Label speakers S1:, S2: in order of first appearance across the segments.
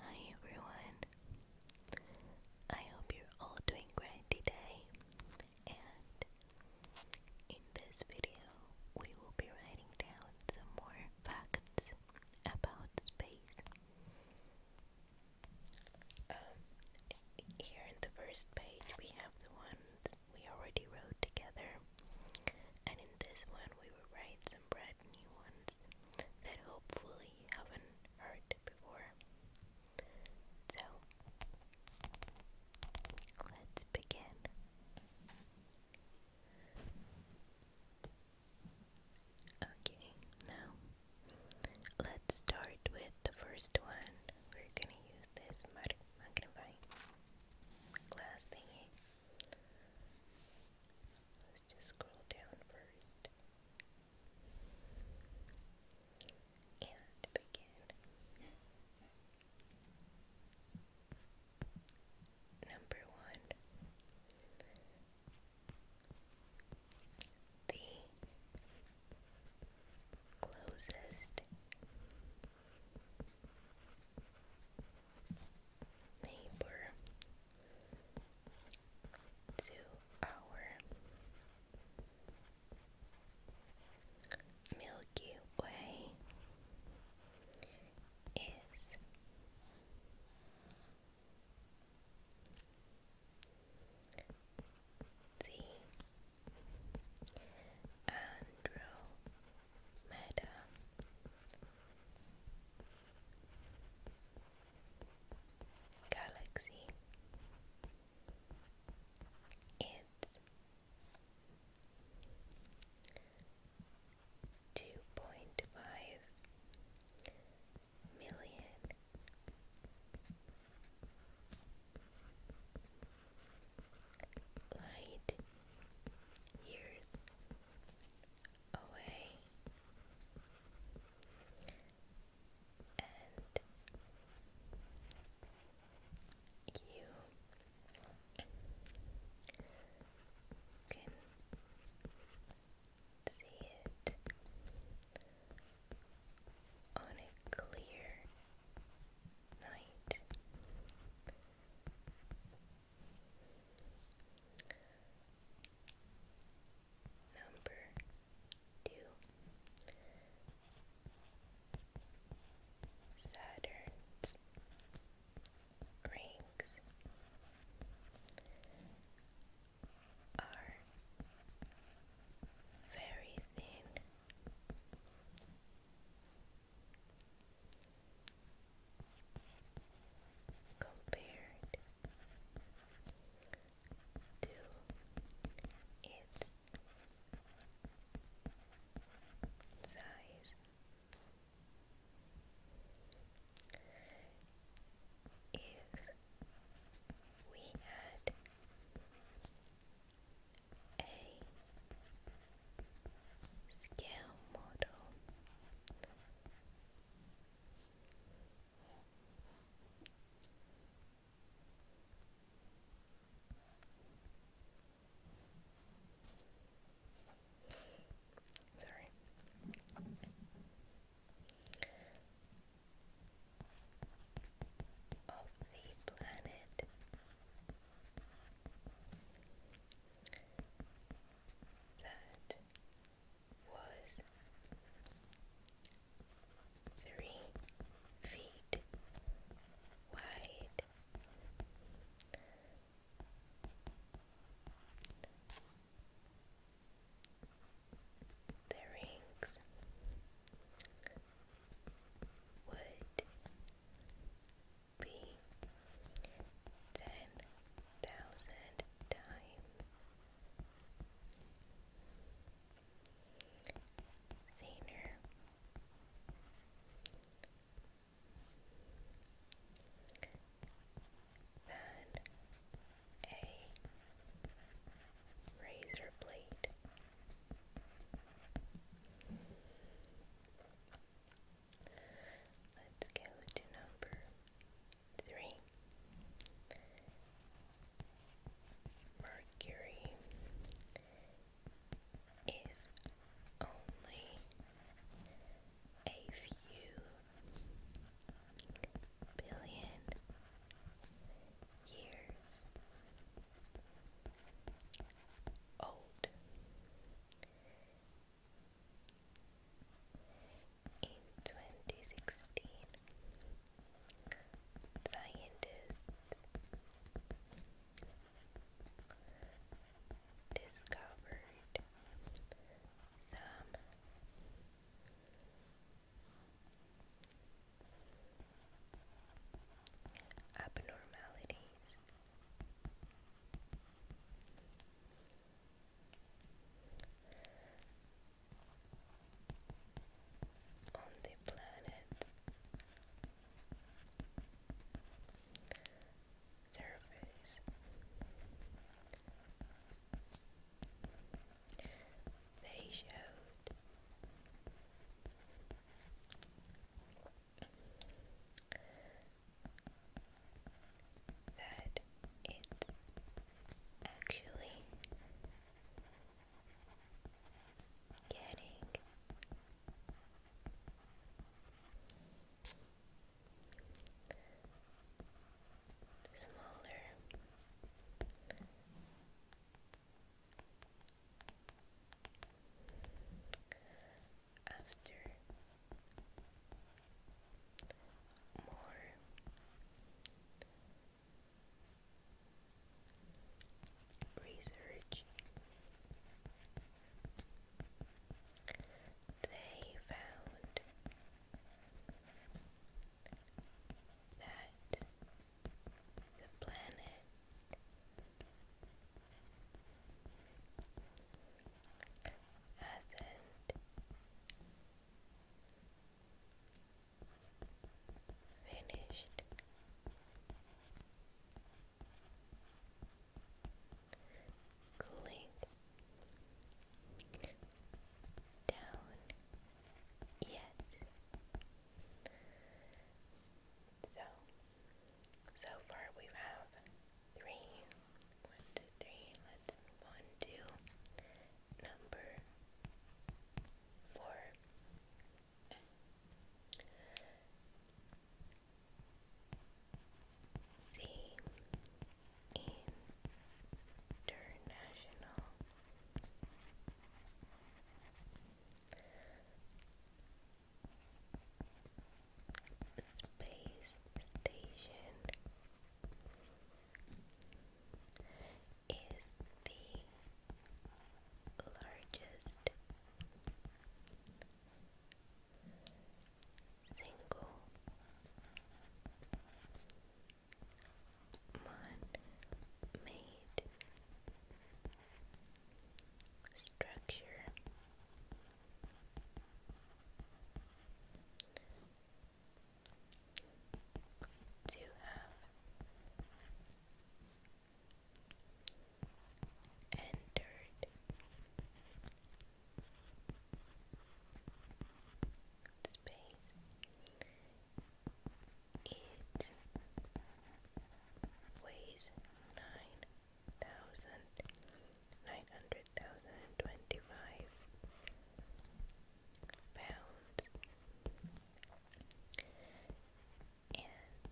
S1: Hi everyone. I hope you're all doing great today. And in this video, we will be writing down some more facts about space. Um, here in the first page, we have the ones we already wrote together. And in this one, we will write some brand new ones that hopefully haven't heard before. So, let's begin. Okay, now let's start with the first one. We're gonna use this magnifying glass thingy. Let's just scroll down first and begin. Number one, the closest neighbor to our Milky Way is the Andromeda Galaxy. It's two point five million light years away and you can see it on a clear night Number two Saturn's rings are very thin compared to its size. If we had a Scale model. Sorry. Of the planet that was three feet wide. The rings would be ten thousand times. Thinner than a razor blade. Let's go to number three. Mercury is only a few billion years old. In 2016, scientists discovered some abnormalities on the planet's surface. They showed that it's actually getting smaller after more research they found that the planet hasn't finished cooling down yet. So so far we have three. two, three. Let's move on number four. The International space station is the largest single man-made structure to have entered space it weighs nine thousand nine hundred thousand twenty five pounds and and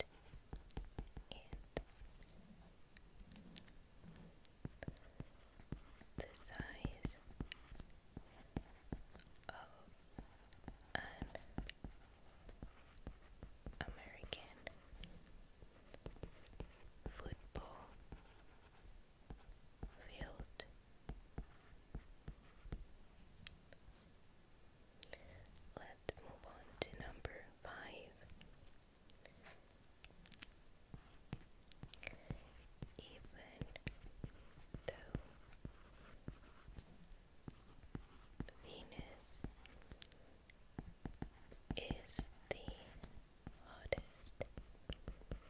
S1: the size of an American football field let's move on to number five even though Venus is the hottest planet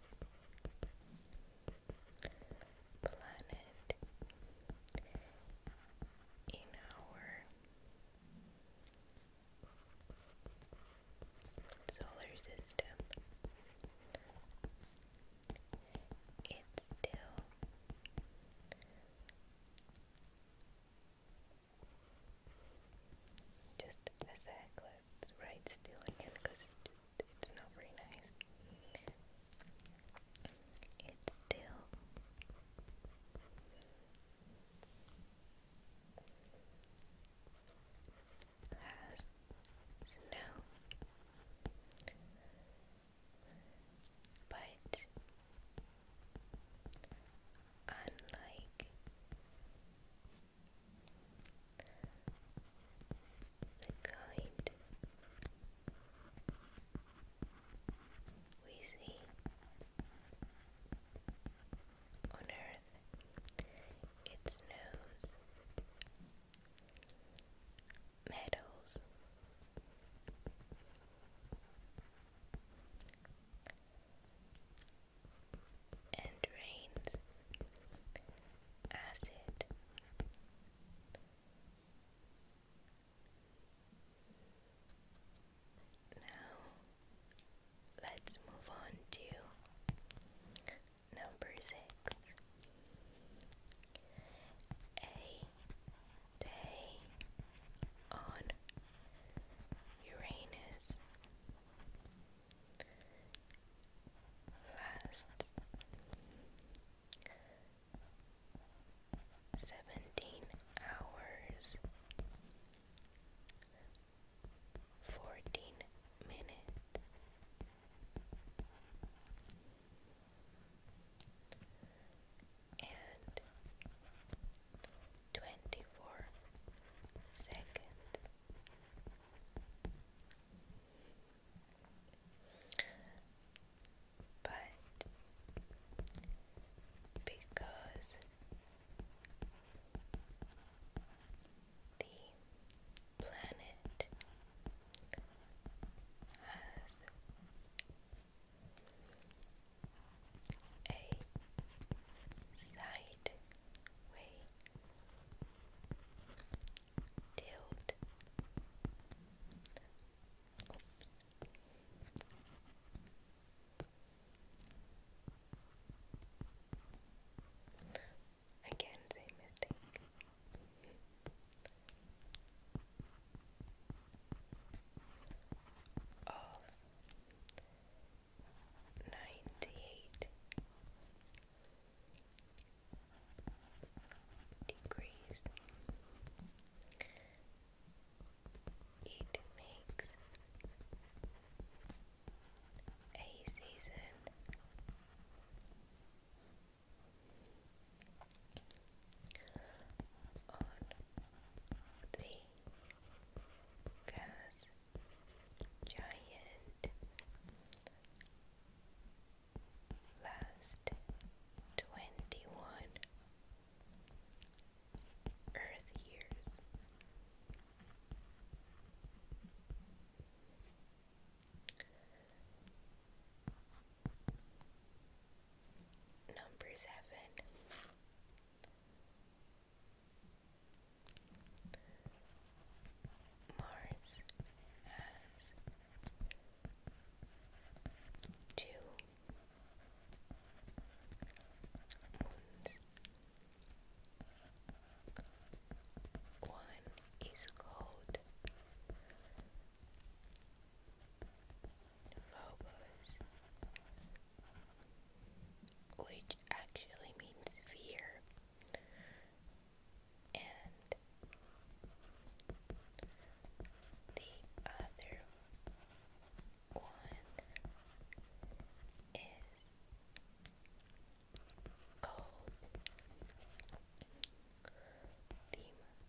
S1: in our solar system. It's still just as a circle, it's right still again because it just, it's not very nice. It's still. Has snow, but unlike the kind we see on Earth, its nose medals and rains acid. Now let's move on to number six. A day on Uranus lasts seventeen hours fourteen minutes and twenty four seconds. But because the planet has a side way tilt Again, same mistake. Of ninety eight degrees. It makes a season on the gas giant last 21 earth years Number seven Mars has two moons. One is called phobos, which actually means fear, and the other one is called Demos.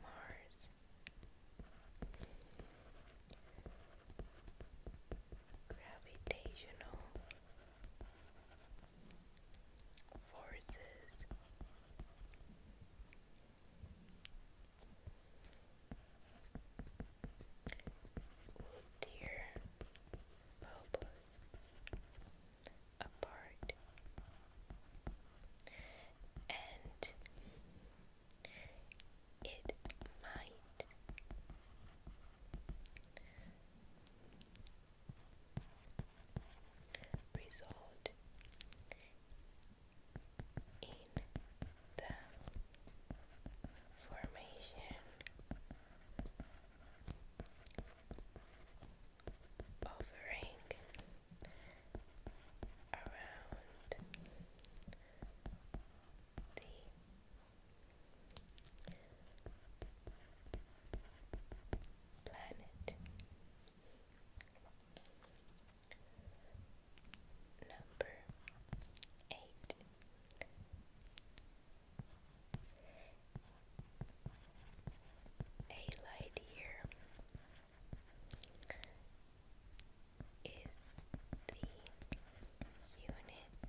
S1: Mars Gravitational Forces Wood deer bubbles apart. And it might result in the formation offering around the planet. Number eight a light year is the unit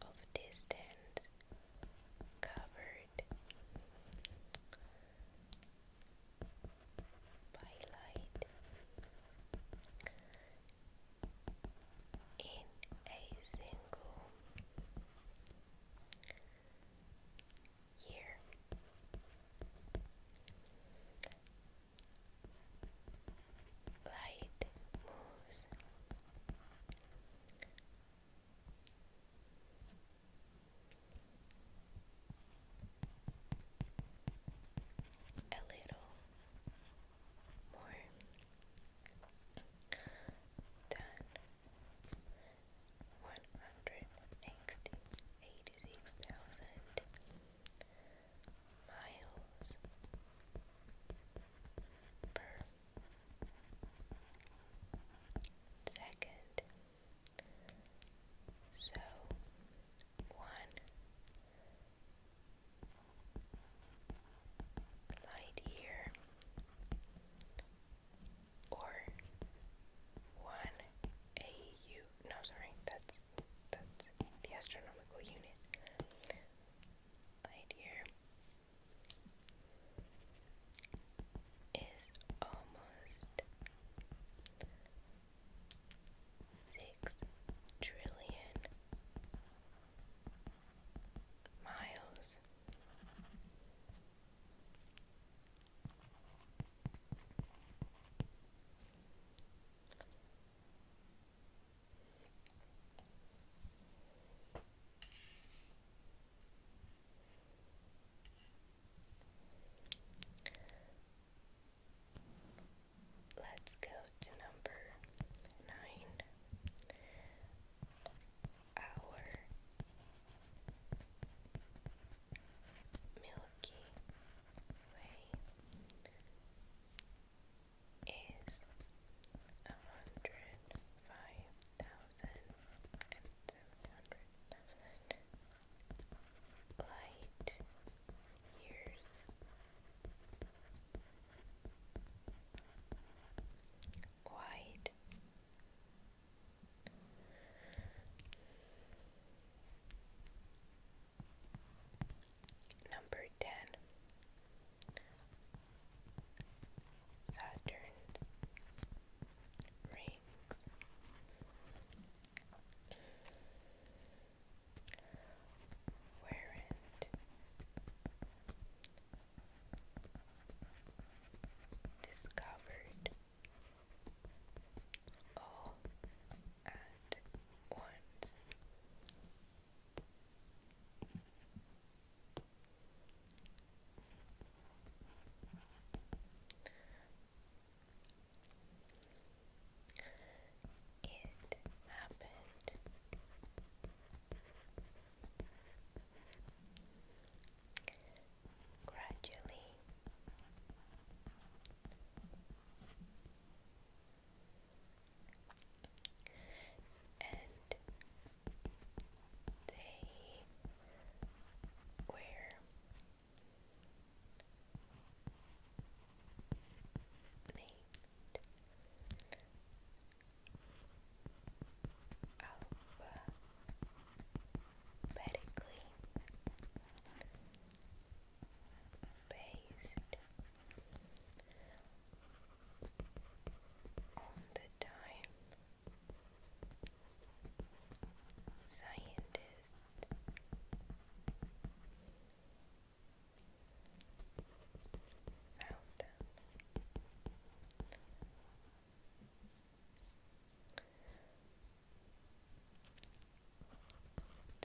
S1: of distance covered by light in a single year. Light moves a little more than one hundred eighty-six thousand miles per second. So one light year or one AU. No, sorry, that's that's the astronomical unit. Light year is almost six trillion miles. Let's go to number nine. Our Milky Way is a hundred five thousand and seven hundred thousand light years. White. Number ten Saturn's rings weren't discovered all at once. It happened. Gradually, and they were made alphabetically based on the time scientists Found them.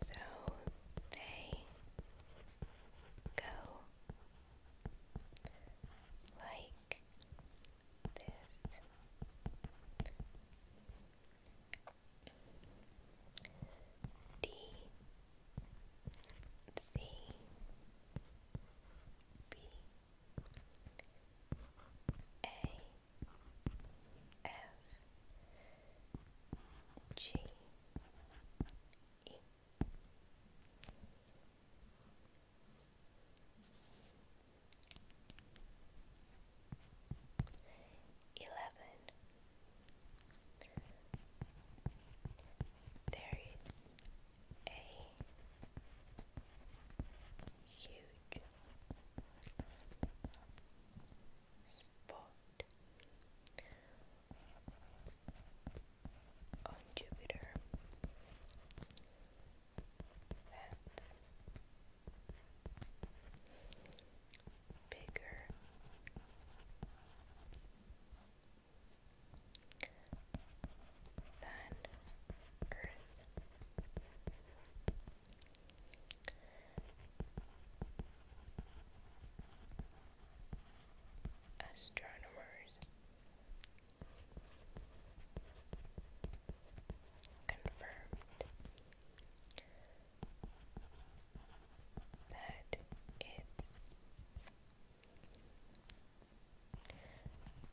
S1: So they go like this. D C B A F G E Eleven there is a huge spot on Jupiter bigger. Than Earth. Astronomers confirmed that it's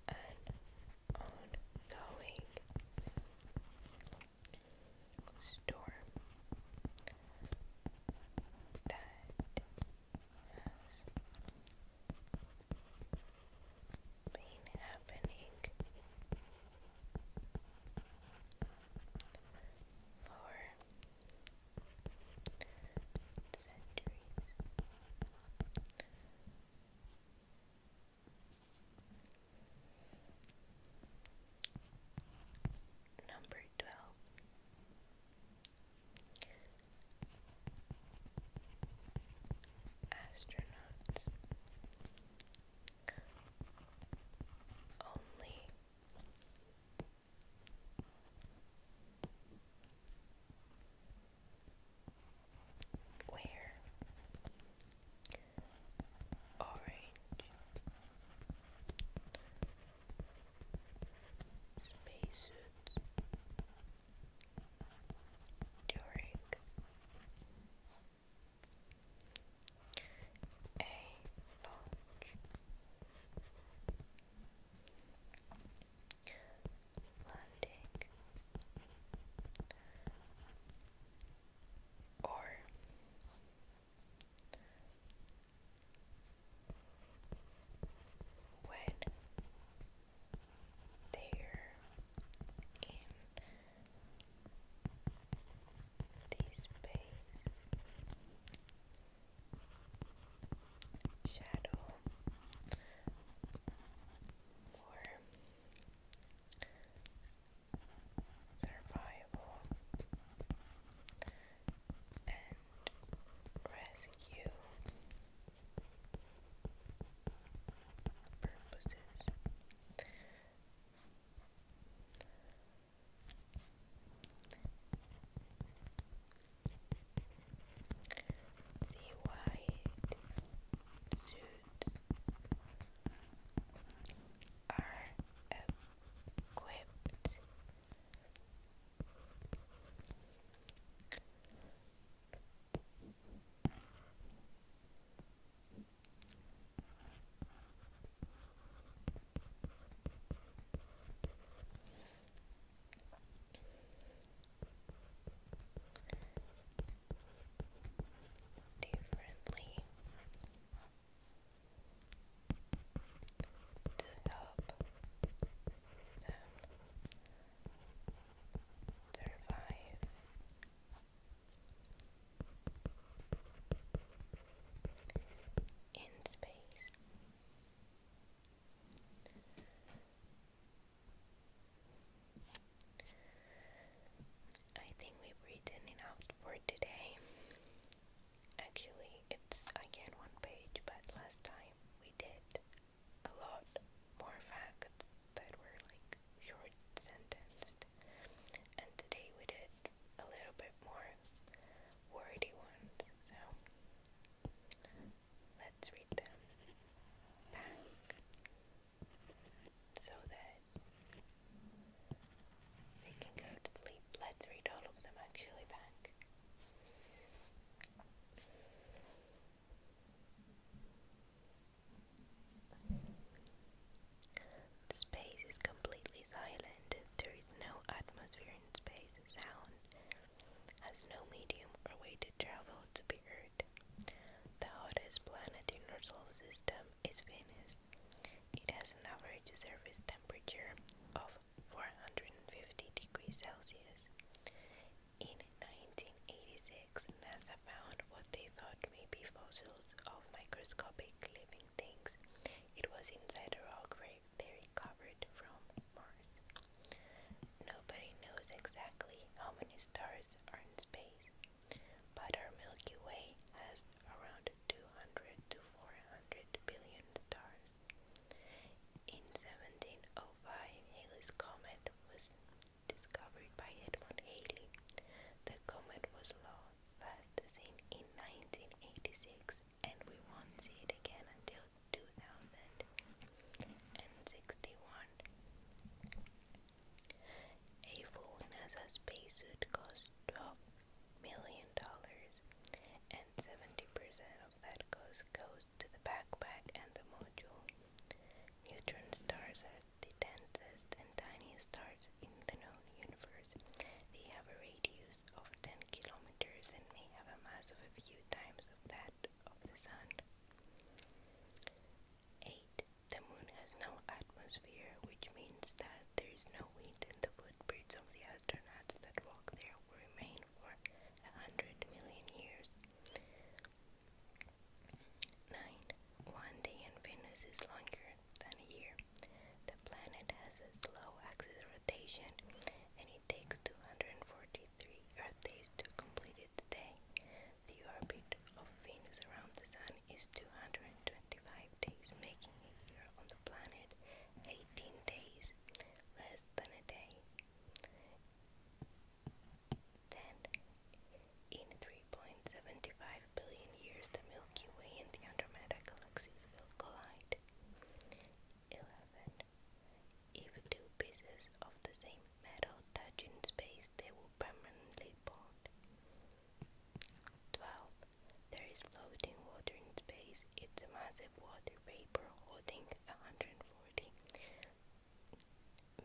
S1: an ongoing storm that has been happening for centuries. Number twelve. Astronauts. Only where orange spacesuits during a large landing or when they're in this base shadow more survival and rescue purposes. The white suits are equipped differently to help them survive in space. I think we've written enough for today. Actually, it's again one page, but last time we did a lot more facts that were like short sentenced, and today we did a little bit more wordy ones. So let's read them back so that they can go to sleep. Let's read all of them actually back. Space is completely silent. There is no atmosphere in space. Sound has no medium or way to travel to the Earth. The hottest planet in our solar system is Venus. It has an average surface temperature of 450 degrees Celsius. In 1986, NASA found what they thought may be fossils of microscopic living things. It was inside a rock grave they recovered from Mars. Nobody knows exactly how many stars are in space, but our Milky Way has around 200 to 400 billion stars. In 1705, Halley's Comet was discovered by Edmund Halley. The comet was lost first seen in 1986 and we won't see it again until 2061. A full NASA spacesuit costs 12 million dollars and 70% of that cost goes to the backpack and the module. Neutron stars are the densest and tiniest stars in the known universe. They have a radius of 10 kilometers and may have a mass of a few times of that of the Sun. 8. The Moon has no atmosphere, which means that there is no wind and the footprints of the astronauts that walk there will remain for a hundred million years. 9. One day in Venus is longer than a year. The planet has a slow axis rotation and it takes 243 Earth days to complete its day. The orbit of Venus around the Sun is 225 days, making a year on the planet 18 days less than a day. Then, in 3.75 billion years, the Milky Way and the Andromeda galaxies will collide. 11. If two pieces of the same metal touch in space, they will permanently bond. 12. There is floating water in space. It's a massive water vapor holding a 140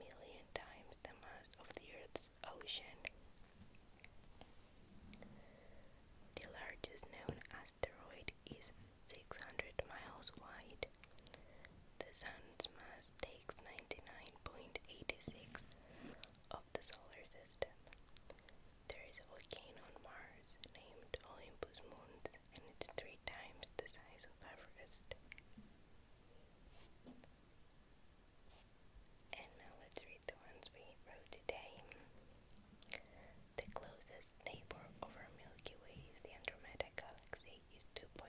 S1: million times the mass of the Earth's ocean. The largest known asteroid is 600 miles wide. The Sun's mass takes 99.86 of the solar system. There is a volcano on Mars named Olympus Mons, and it's three times the size of Everest. And now let's read the ones we wrote today. The closest neighbor of our Milky Way is the Andromeda Galaxy. It's 2.5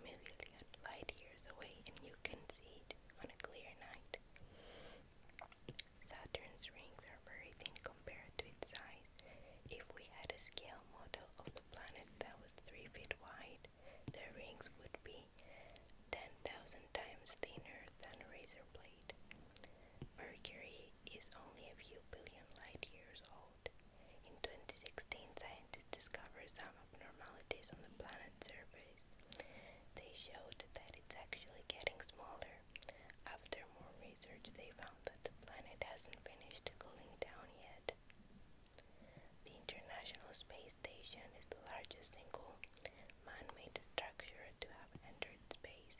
S1: million light years away and you can see it on a clear night. Saturn's rings are very thin compared to its size. If we had a scale model of the planet that was 3 feet wide, the rings would be 10,000 times thinner than a razor blade. Mercury is only a few billion light years old. In 2016, scientists discovered some abnormalities on the planet's surface. They showed that it's actually getting smaller. After more research, they found that the planet hasn't finished cooling down yet. The International Space Station is the largest single man-made structure to have entered space.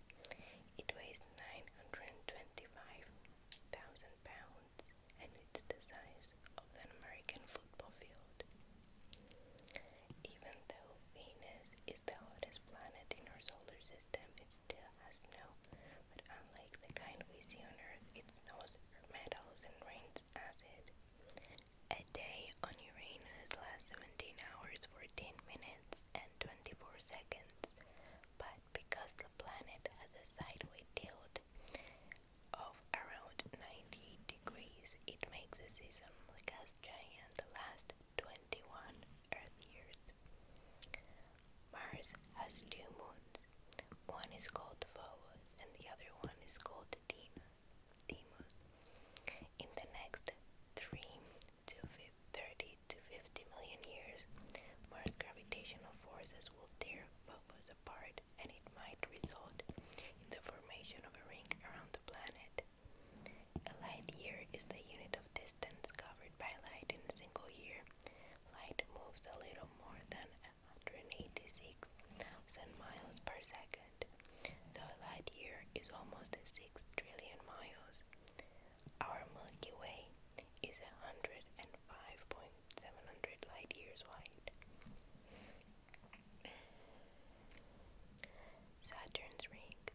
S1: It weighs 925,000 pounds and it's the size of an American football field. Even though Venus is the hottest planet in our solar system, it still has snow, but unlike the kind we see on Earth, it snows for metals and rains acid. A day on Uranus lasts 17 hours, 14 minutes, and 24 seconds, but because the planet has a sideways tilt of around 90 degrees, it makes a season like gas giant last 21 Earth years. Mars has two moons. One is called Phobos and the other one is called Athena. In the next 3 to 30 to 50 million years, Mars' gravitational forces will tear Phobos apart and it might result in the formation of a ring around the planet. A light year is the unit of distance covered by light in a single year. Light moves a little more than 186,000 miles per second. The light year is almost 6 trillion miles. Our Milky Way is 105.700 light years wide. Saturn's rings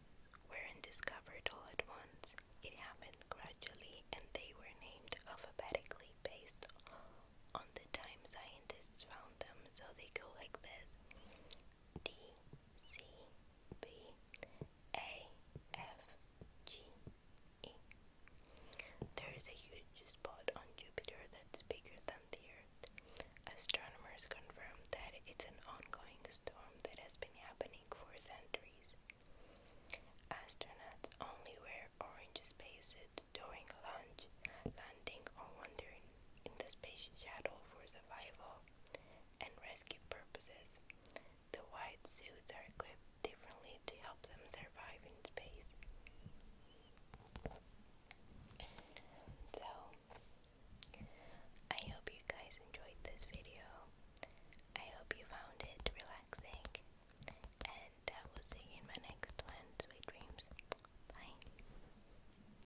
S1: weren't discovered all at once. It happened gradually and they were named alphabetically based on the time scientists found them so they go like this D C B A F G E. There is a huge spot on Jupiter that's bigger than the Earth. Astronomers confirm that it's an ongoing storm that has been happening for centuries. Astronauts only wear orange spacesuits during launch, landing, or wandering in the space shuttle for survival and rescue purposes. The white suits are equipped differently to help them survive in space. So, I hope you guys enjoyed this video. I hope you found it relaxing. And I uh, will see you in my next one. Sweet dreams. Bye.